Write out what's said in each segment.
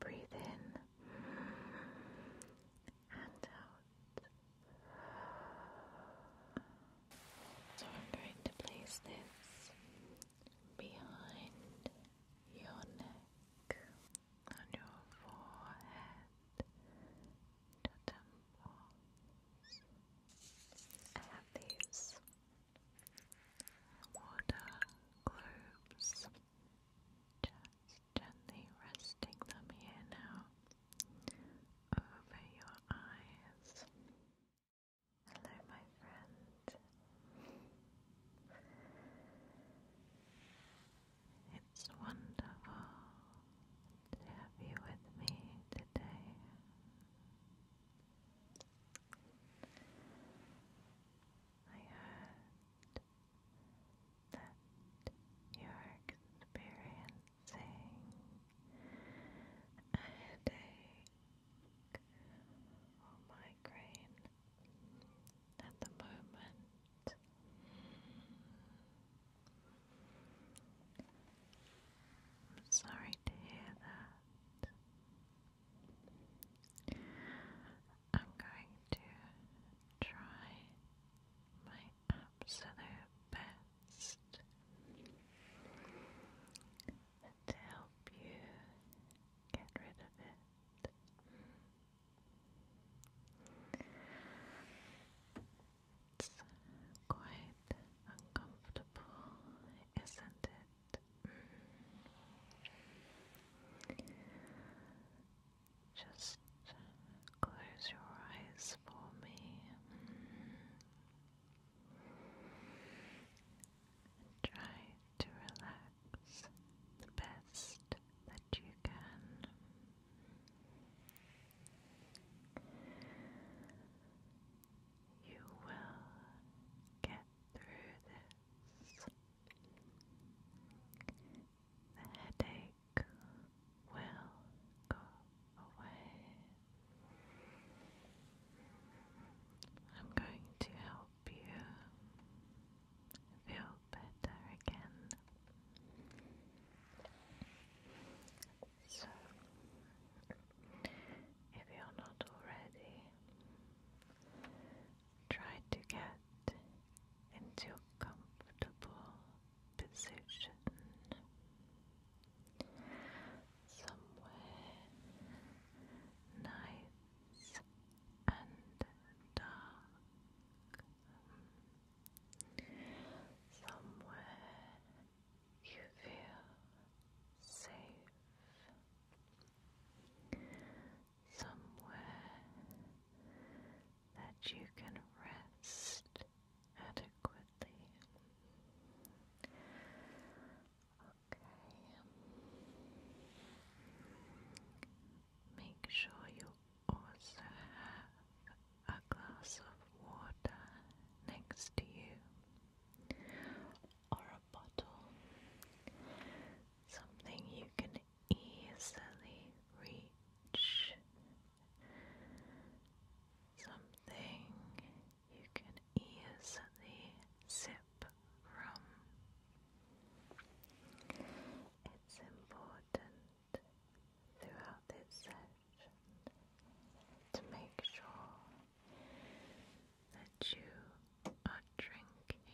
Breathe in and out. So I'm going to place this behind your neck, on your forehead, your temples. I have these water globes. Just gently resting them here now over your eyes. Hello, my friend. It's wonderful to have you with me today. I heard that you're experiencing a headache or migraine at the moment. I'm sorry to hear that. I'm going to try my absolute best to help you get rid of it. It's quite uncomfortable, isn't it? Just close your eyes for me. And try to relax the best that you can. You will get through this. The headache will go away. I'm going to help you feel better again. So, if you're not already, Try to get into a comfortable position somewhere nice and dark, somewhere you feel safe somewhere that you can rest adequately. Okay. Make sure you also have a glass of water next to you or a bottle, something you can easily reach. Something you can easily sip from. It's important throughout this session to make sure that you are drinking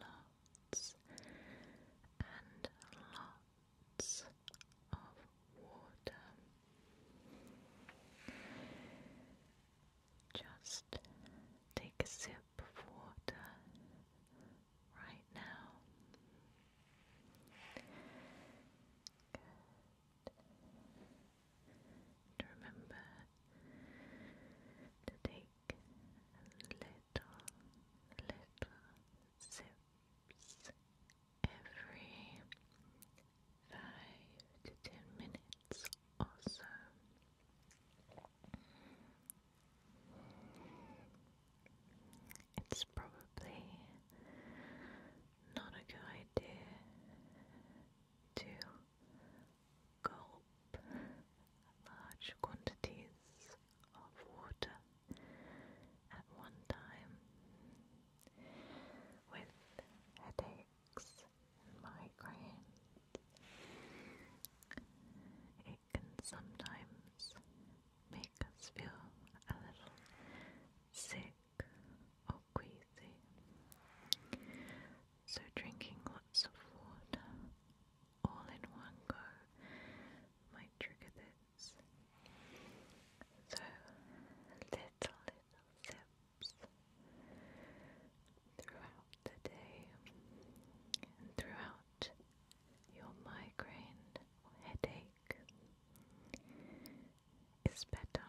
love lots and lots of water. Just take a sip of water right now. Good. remember to take little, little sips every five to ten minutes or so. It's probably not a good idea to gulp large quantities of water at one time. With headaches migraines, it can sometimes make us feel a little sick or queasy. So, drinking lots of water all in one go might trigger this. So, little, little sips throughout the day and throughout your migraine headache is better.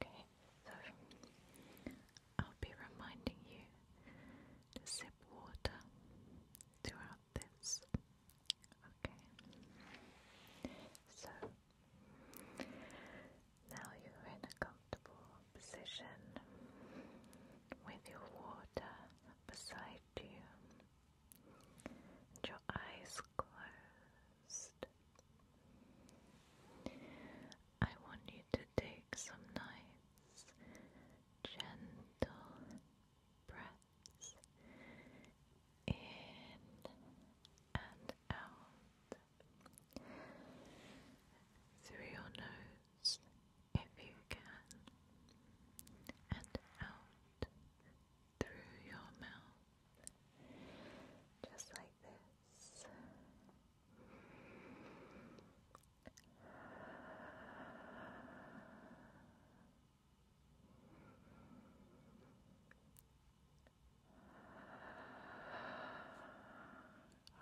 Okay, I'll be reminding you to sip water throughout this. Okay? So, now you're in a comfortable position with your water beside you your eyes closed. I want you to take some nice gentle breaths in and out through your nose if you can, and out through your mouth, just like this.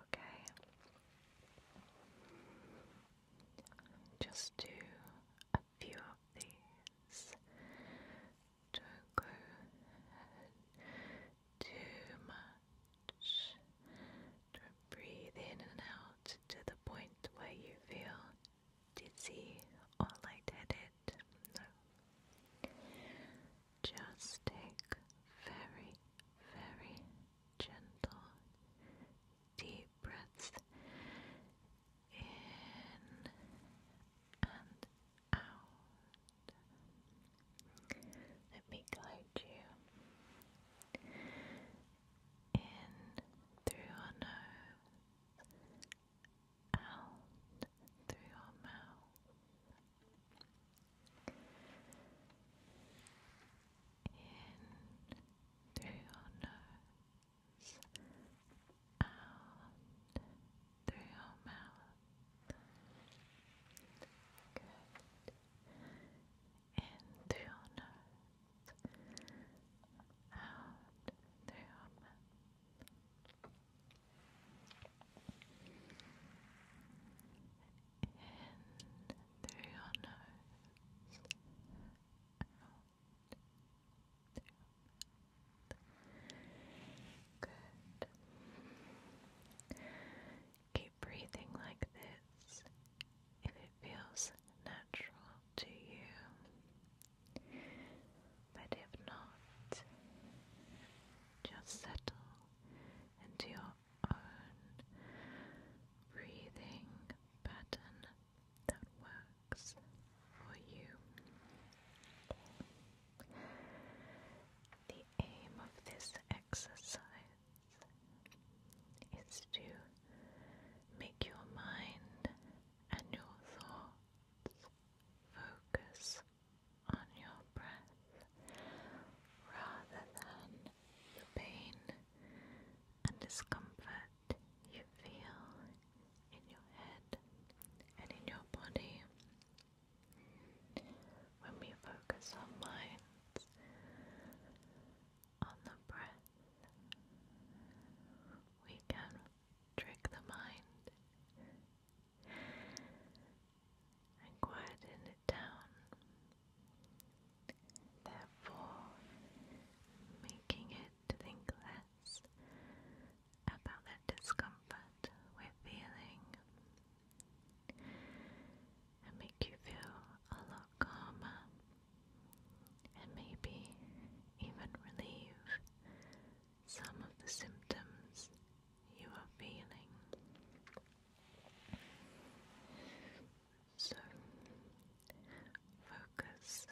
Okay. Just do a few of these to go too much. Breathe in and out to the point where you feel dizzy or lightheaded. No. Just take very, very gentle, deep breaths in and out. Let me guide you in through our nose, out through our mouth, in through our nose, out through our mouth. Good in through your nose, out through your mouth. In through your nose, out through your mouth. Good. Keep breathing like this if it feels natural to you. But if not, just settle into your own breathing pattern that works for you. The aim of this exercise is to make your mind and your thoughts focus on your breath rather than the pain and discomfort you feel in your head and in your body. When we focus our minds on the breath, we can trick the mind and quieten it down, therefore, making it think less about that discomfort we're feeling and make you feel a lot calmer and maybe even relieve some of the symptoms you are feeling. So, focus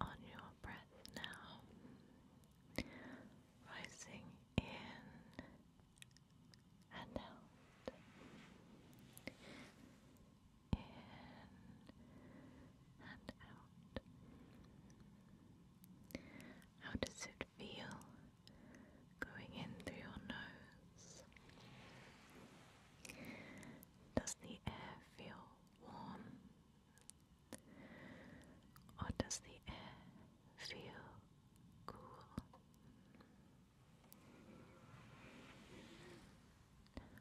on your breath now, rising in and out. In and out. How does it feel going in through your nose? Does the air feel warm? Or does the air feel cool.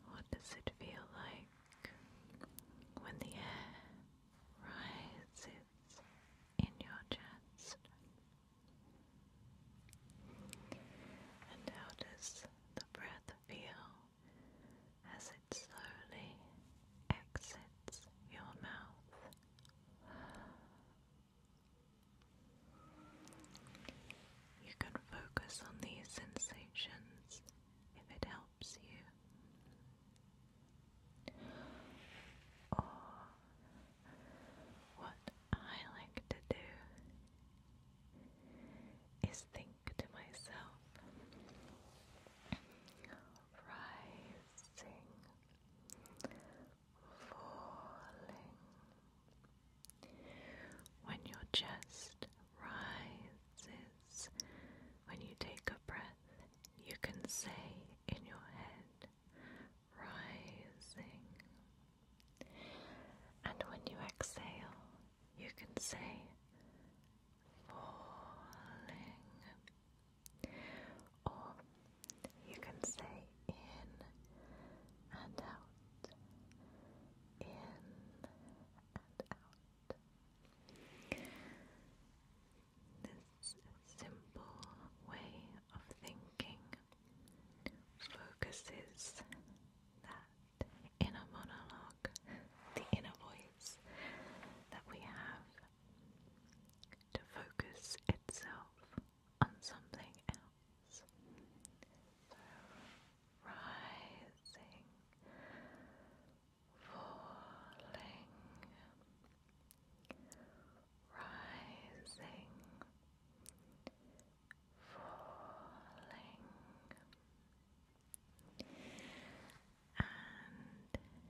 What does it feel like when the air rises in your chest? And how does the breath feel as it slowly exits your mouth? You can focus on these sensations if it helps you. Or, what I like to do is think to myself, rising, falling. When your chest rises, when you take a breath, you can say in your head, rising. And when you exhale, you can say, falling. Or you can say in and out, in and out. This simple way of thinking focuses that inner monologue, the inner voice that we have, to focus itself on something else. So, rising, falling, rising, falling,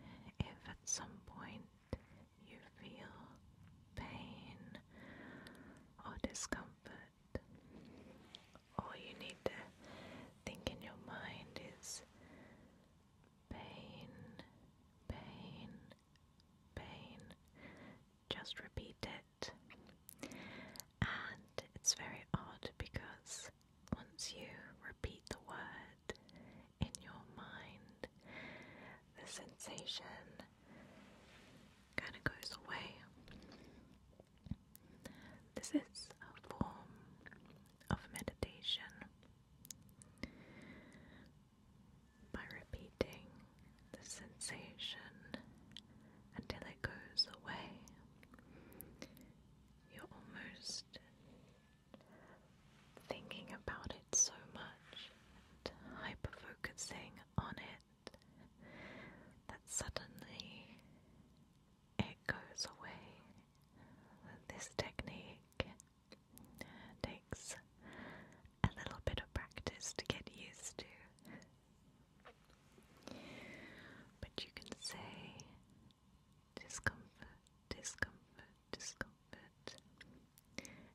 and if at some point you feel pain or discomfort, all you need to think in your mind is pain, pain, pain. Just repeat it. And it's very odd because once you repeat the word, in your mind, the sensation kind of goes away. This is a form of meditation by repeating the sensation until it goes away. You're almost thinking about it so much and hyper focusing on it that suddenly it goes away. This technique takes a little bit of practice to get used to. But you can say discomfort, discomfort, discomfort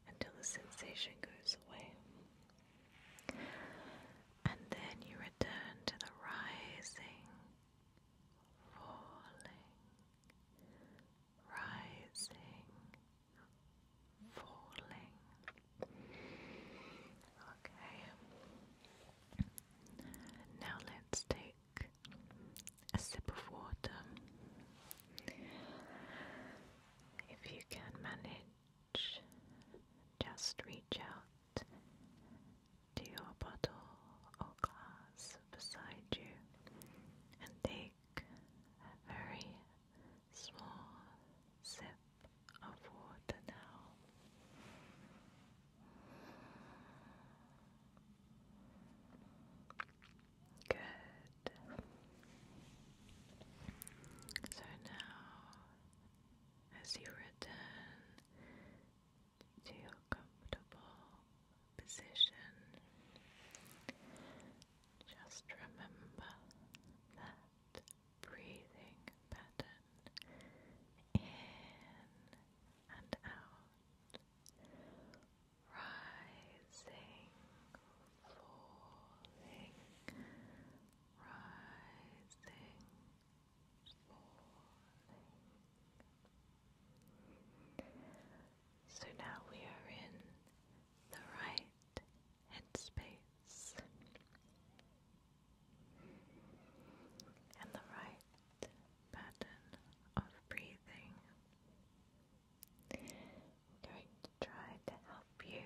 until the sensation goes away. And then you return to the rising, falling, rising, falling. Okay. Now let's take a sip of water. If you can manage, just reach out to your bottle or glass beside you and take a very small sip of water now. Good. So now, as you return to your comfortable position, just remember that breathing pattern in and out rising, falling, rising, falling. So now we are in the right headspace. And the right pattern of breathing. I'm going to try to help you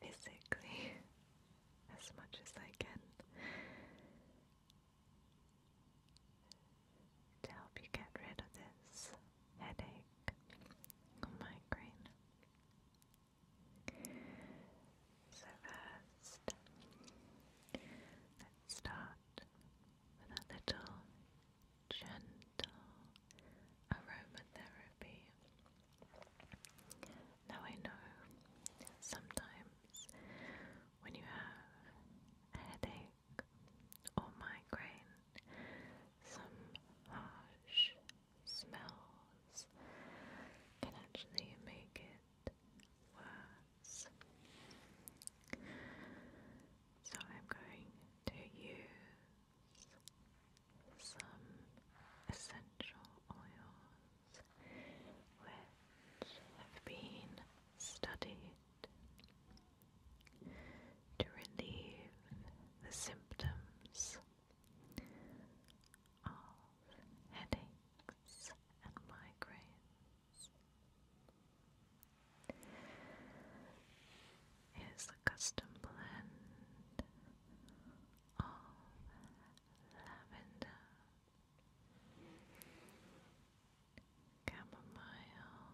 physically as much as I can to help you get rid of this headache migraine. So first, let's start with a little gentle aromatherapy. Now, I know sometimes when you have headache or migraine, some harsh smells can actually make it worse. So I'm going to use some essential oils which have been studied to relieve the symptoms of headaches and migraines. Here's the custom blend of lavender, chamomile,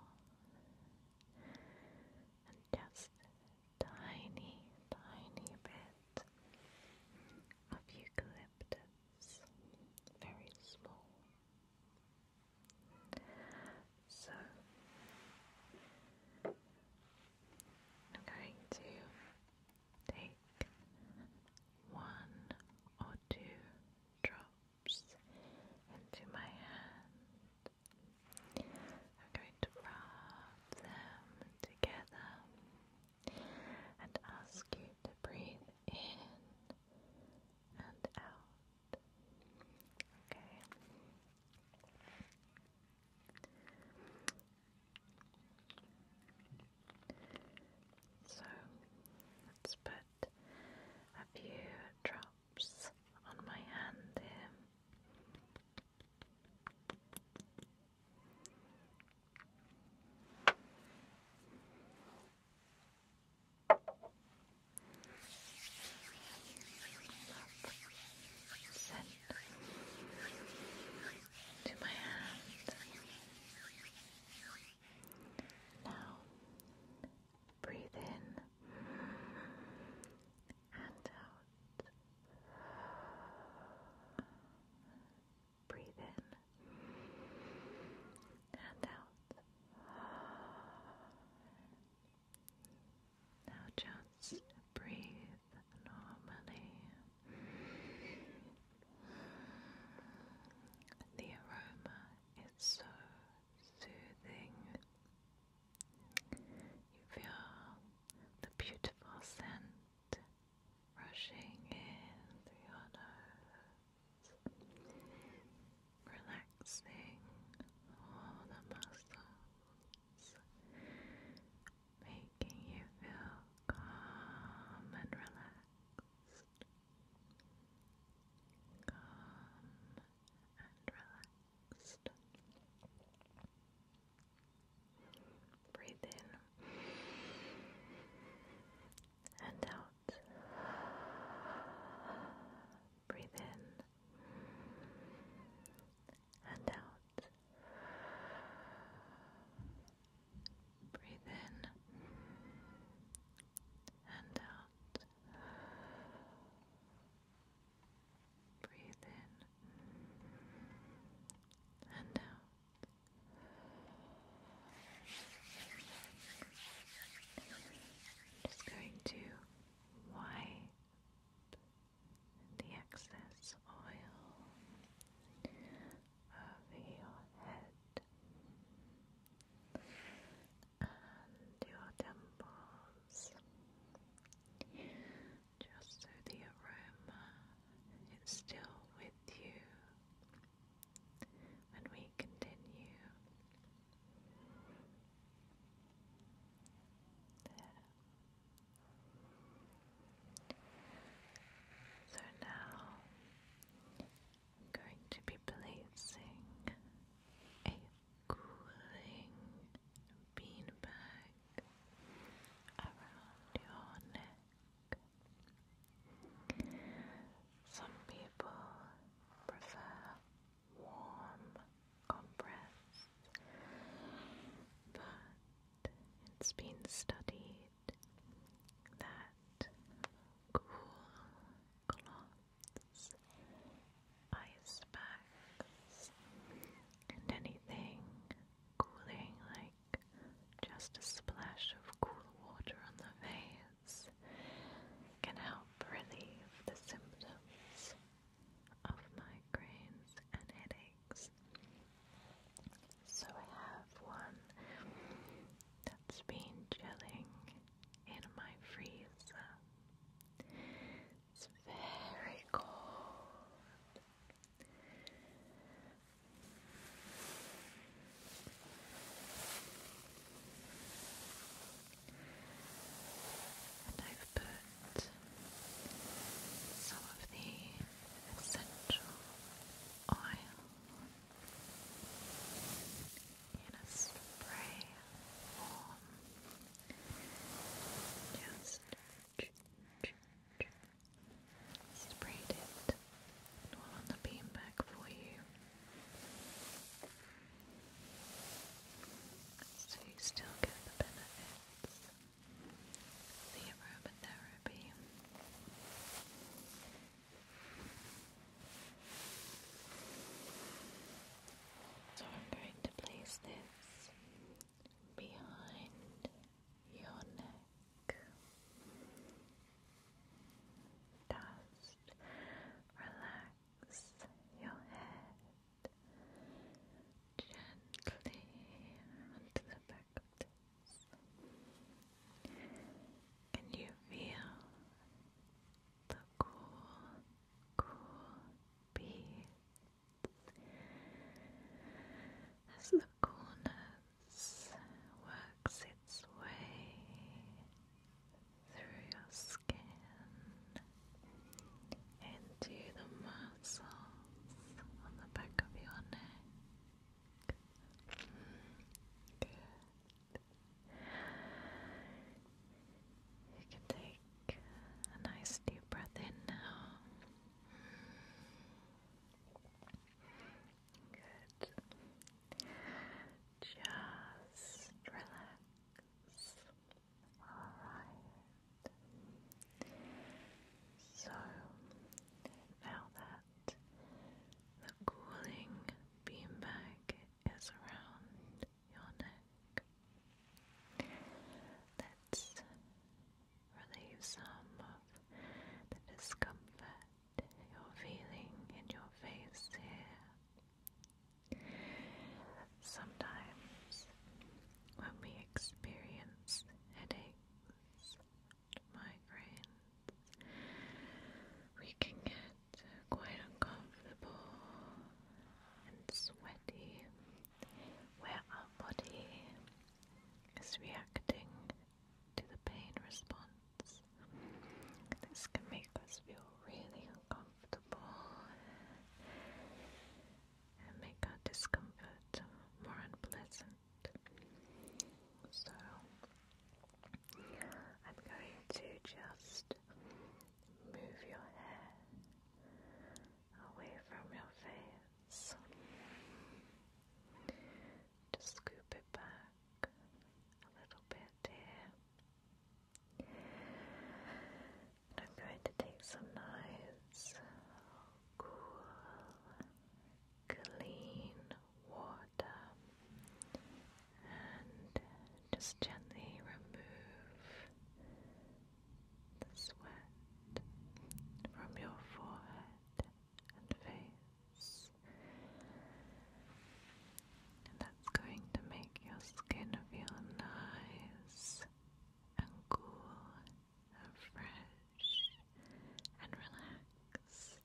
and just tiny, tiny bit of eucalyptus, very small. So I'm going to take one or two drops into my hand. I'm going to rub them together and ask you to breathe in and out. Okay. So let's put a few drops on my hand here. Send to my hand. Now breathe in and out. Breathe in and out. Now just breathe normally. The aroma is so soothing. You feel the beautiful scent rushing in through your nose relaxing all the muscles, making you feel calm and relaxed. Calm and relaxed. Breathe in and out. Breathe in and out. Breathe in and out. Breathe in and out. just going to white the excess oil over your head and your temples just so the aroma is still with you when we continue. There. So now I'm going to be placing a cooling bean bag around your neck. Some people prefer warm, compressed, but it's been studied that cool cloths, ice bags, and anything cooling like just a splash of cool water on the face practice can help relieve the symptoms of migraines and headaches. So I have one that's been chilling in my freezer. It's very cold. And I've put some of the essential oil in a spray form. Just sprayed it all on the beanbag for you. So you still get the benefits of aromatherapy. So I'm going to place this behind your neck. Just relax relax your head gently onto the back of this. And you feel the cool, cool beads as the coolness works its way through your skin into the muscles on the back of your neck. You can take a nice deep breath in now. Good. Just relax. Alright. So now that the cooling beanbag is around your neck, let's relieve some of the discomfort you're feeling in your face here. Sometimes, when we experience headaches, migraines, we can get quite uncomfortable and sweaty where our body is reacting to the pain response. This can make us feel really comfortable and make our discomfort more unpleasant. So, I'm going to just move your hair away from your face. Just scoop it back a little bit here. I'm going to take some nice, cool, clean water and just gently remove the sweat from your forehead and face and that's going to make your skin feel nice and cool and fresh and relaxed.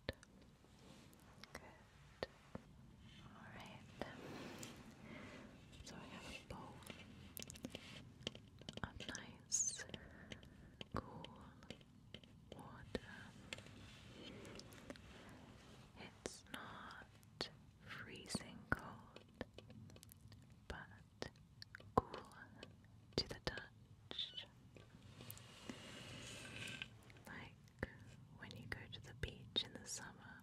Good. Alright. So I have a bowl of nice, cool water. It's not freezing cold, but cool to the touch. Like when you go to the beach in the summer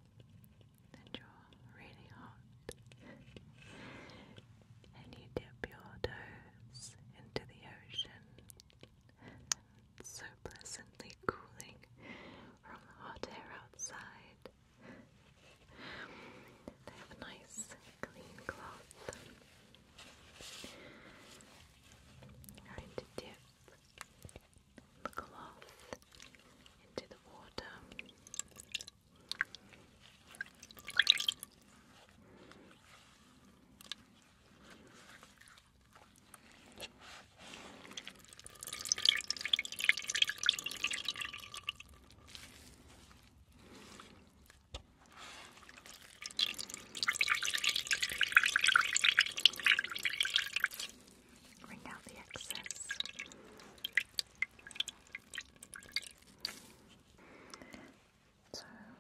and you're really hot, and you dip your toes into the ocean so pleasantly cooling from the hot air outside. They have a nice clean cloth. Going to dip the cloth into the water. Bring out the excess. So I'm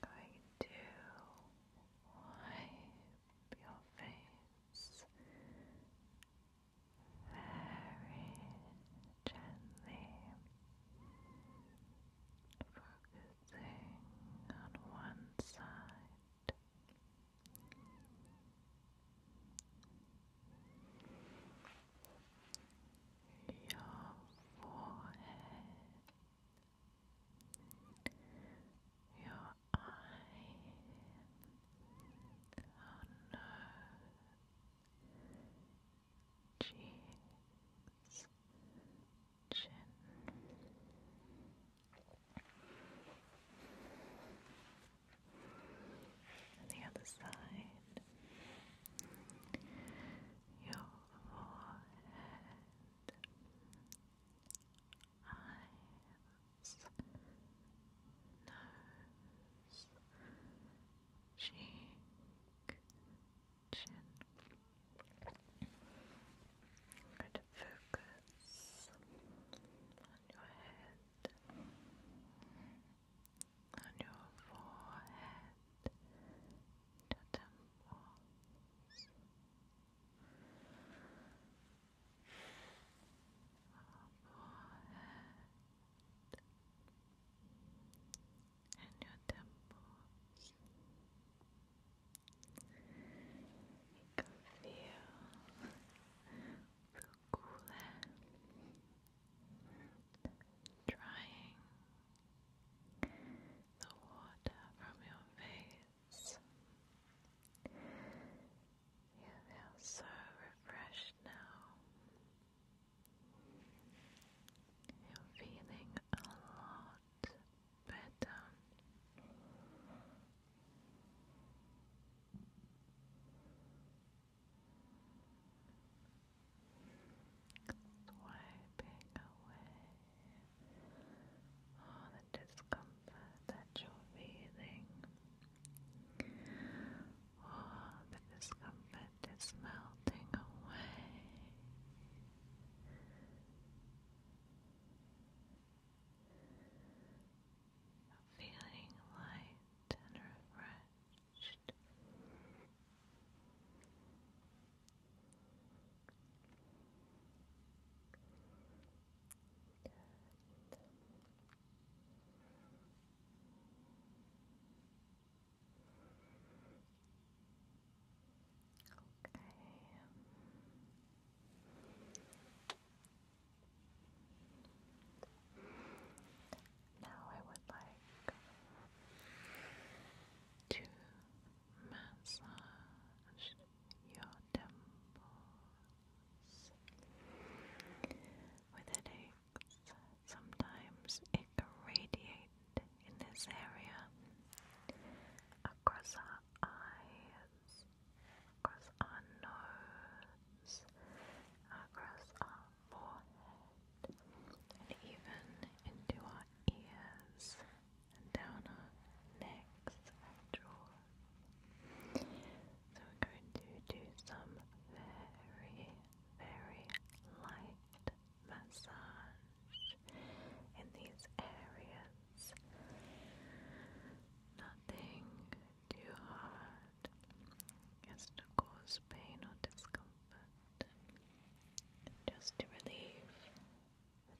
going to wipe your face very gently, focusing on one side. Your forehead your eye. Oh Cheeks. Chin. And the other side. Your forehead eyes, nose, cheek, I'm going to focus on your head, on your forehead, your temples forehead and your temples. You can feel the cool air drying the water from your face yes. You feel so refreshed now. You're feeling a lot better. Swiping away all oh, the discomfort that you're feeling, all oh, the discomfort is melting away. Feeling light and refreshed. Good. Okay. Now I would like to massage your temples. With headaches, sometimes it can in this area across our eyes, across our nose, across our forehead, and even into our ears and down our necks and jaws. So we're going to do some very, very light massage in these areas. Nothing too hard as to cause pain or discomfort. Just to relieve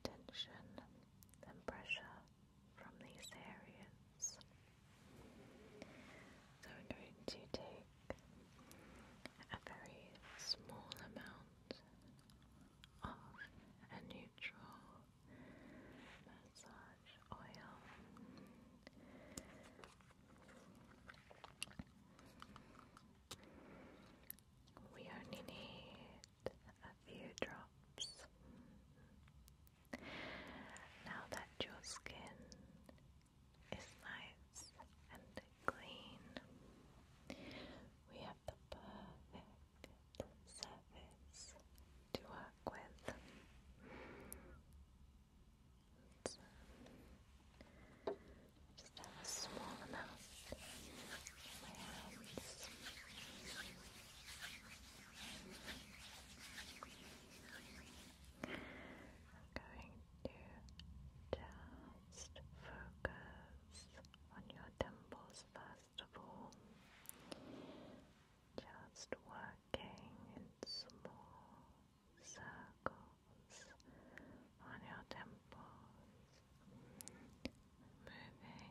tension and pressure from these areas. So we're going to take a very small amount of a neutral massage oil we only need a few drops. Now that your skin is nice and clean, we have the perfect surface to work with. just have a small amount to just focus on your temples first of all. Just working in small circles on your temples moving very, very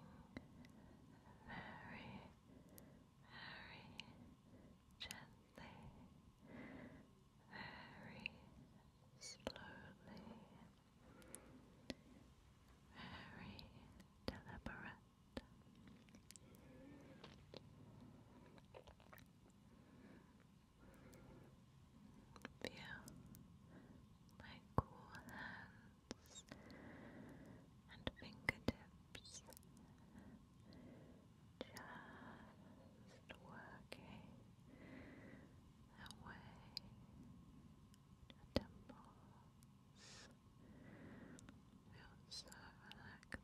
gently, very slowly, very deliberate. Feel my cool hand and fingertips, just working away the temples. Feels so relaxing.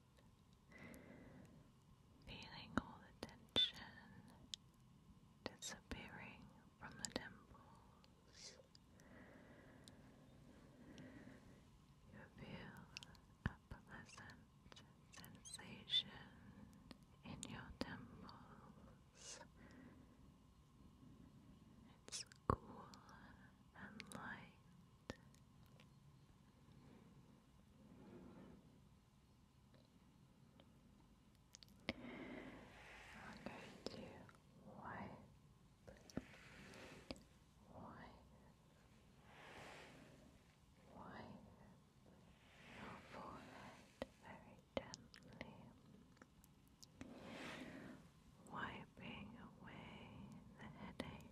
feeling all the tension disappearing from the temples. You feel a pleasant sensation in your temples. It's cool and light. I'm going to wipe, wipe, wipe your forehead very gently, wiping away the headache.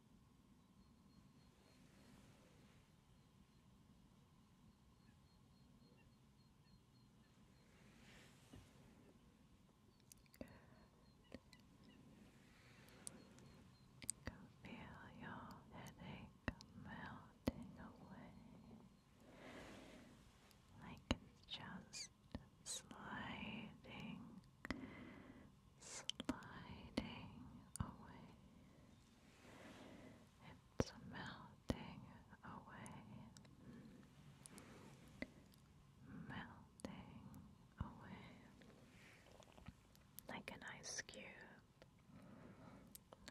You feel your headache melting away like it's just sliding sliding away. It's melting away. Melting away. Like an ice cube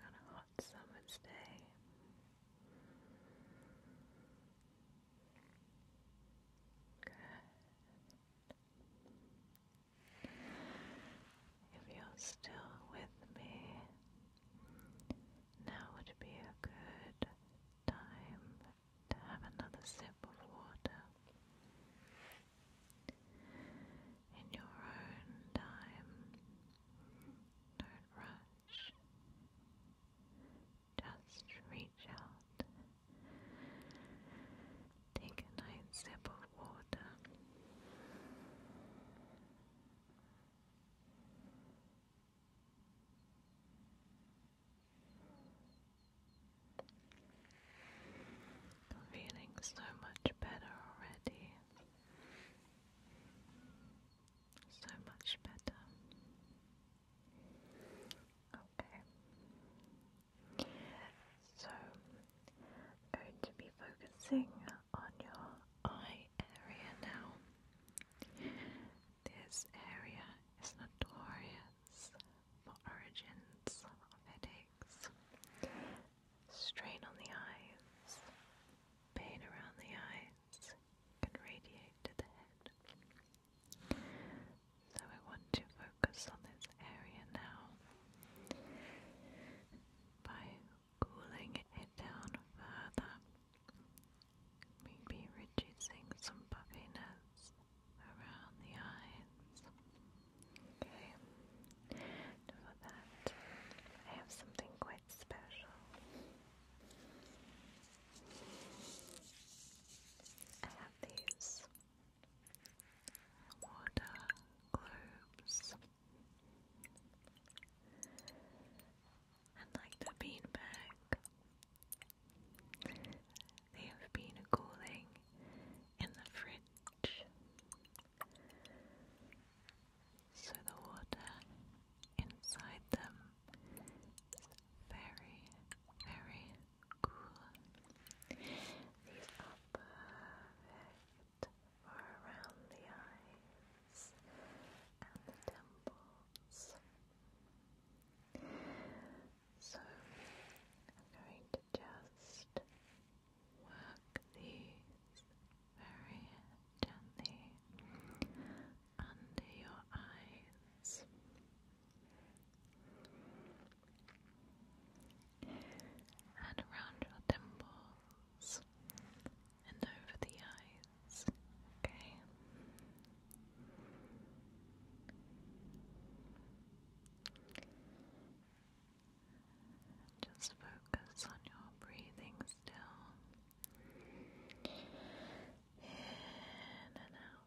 on a hot summer's day. Good. If you're still with me, now would be a good time to have another sip of water. In your own time, don't rush. Just reach out. Take a nice sip of water. I'm feeling so much better already. So much better. Okay. So going to be focusing on your eye area now. This area is notorious for origins of headaches. Strain on the eyes, pain around the eyes can radiate to the head. So I want to focus on this area now by cooling it down further. Maybe reducing some puffiness around the eyes. Okay, for that, I have something quite special. I have these water globes. And like the beanbag, they have been cooling in the fridge. So the water inside them is very, very cool. These are perfect for around the eyes and the temples. So I'm going to just work these very gently under your eyes and around your temples and over the eyes, okay? Just focus on your breathing still. In and out.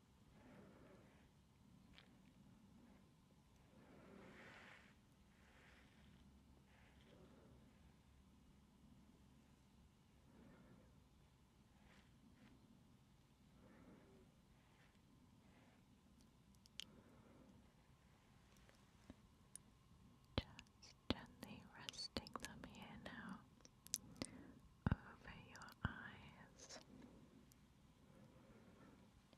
Just gently resting them here now over your eyes.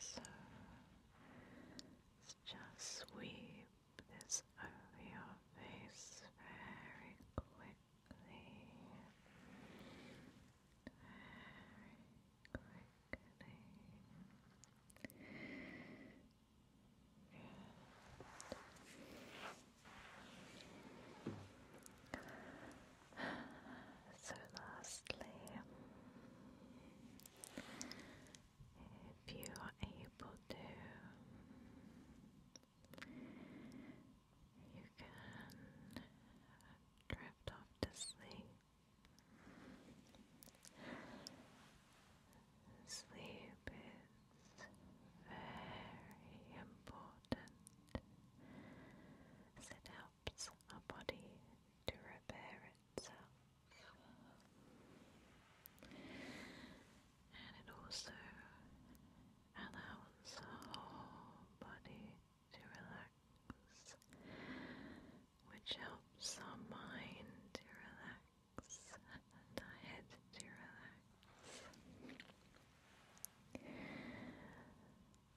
So let just sweep this over your face very quickly. Very quickly. So, lastly, if you are able to, you can drift off to sleep. Sleep is very important. As it helps our body to repair itself. And it also allows the whole body to relax, which helps our mind to relax and our head to relax.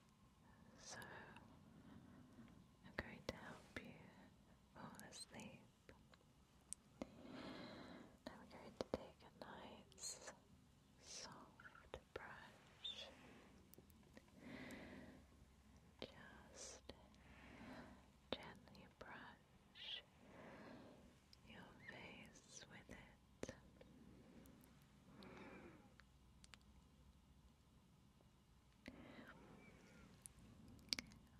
So I'm going to help you fall asleep. Now we going to take a nice soft brush. Just gently brush your face with it.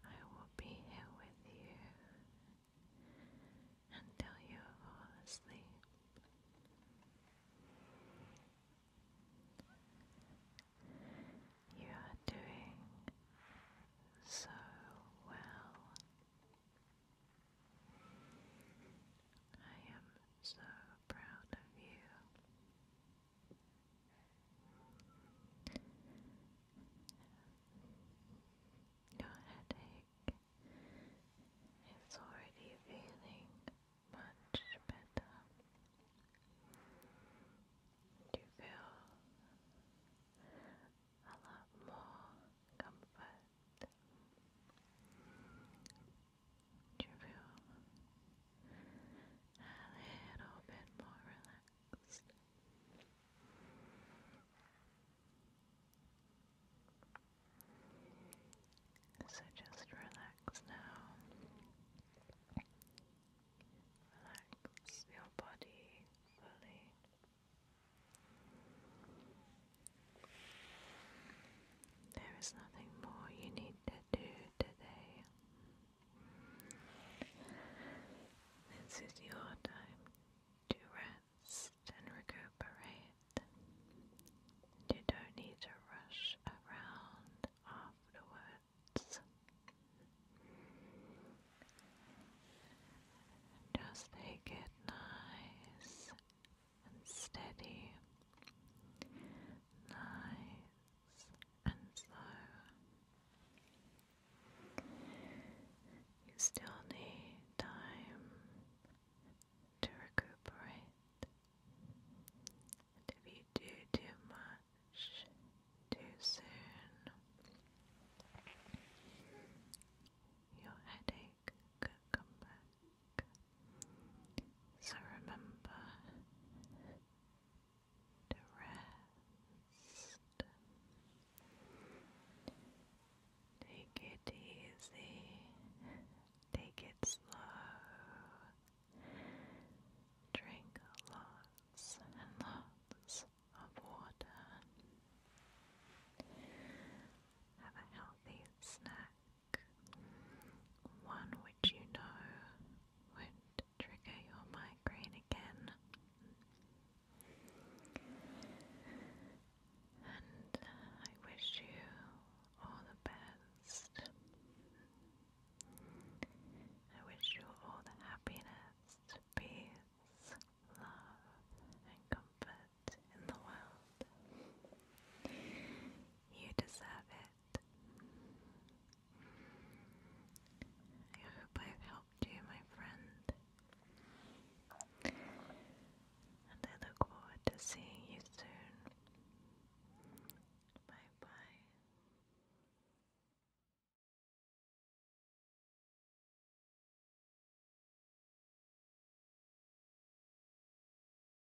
I will be here with you until you fall asleep. You are doing so well. I am so proud of you. Your headache is already feeling much better. You feel a lot more comfort you feel a little bit more relaxed? So just relax now. Relax your body fully. There is nothing more you need to do today. This is your time to rest and recuperate. You don't need to rush around afterwards. Just take it nice and steady, nice and slow. You still need time to recuperate, and if you do too much too soon, your headache could come back. So remember to rest. Take it easy. Take it slow. Drink lots and lots of water. Have a healthy snack one which you know would trigger your migraine again. And I wish you all the best. I wish you all the happiness, peace, love, and comfort in the world. You deserve it. I hope I've helped you, my friend. And I look forward to seeing you soon. Bye bye.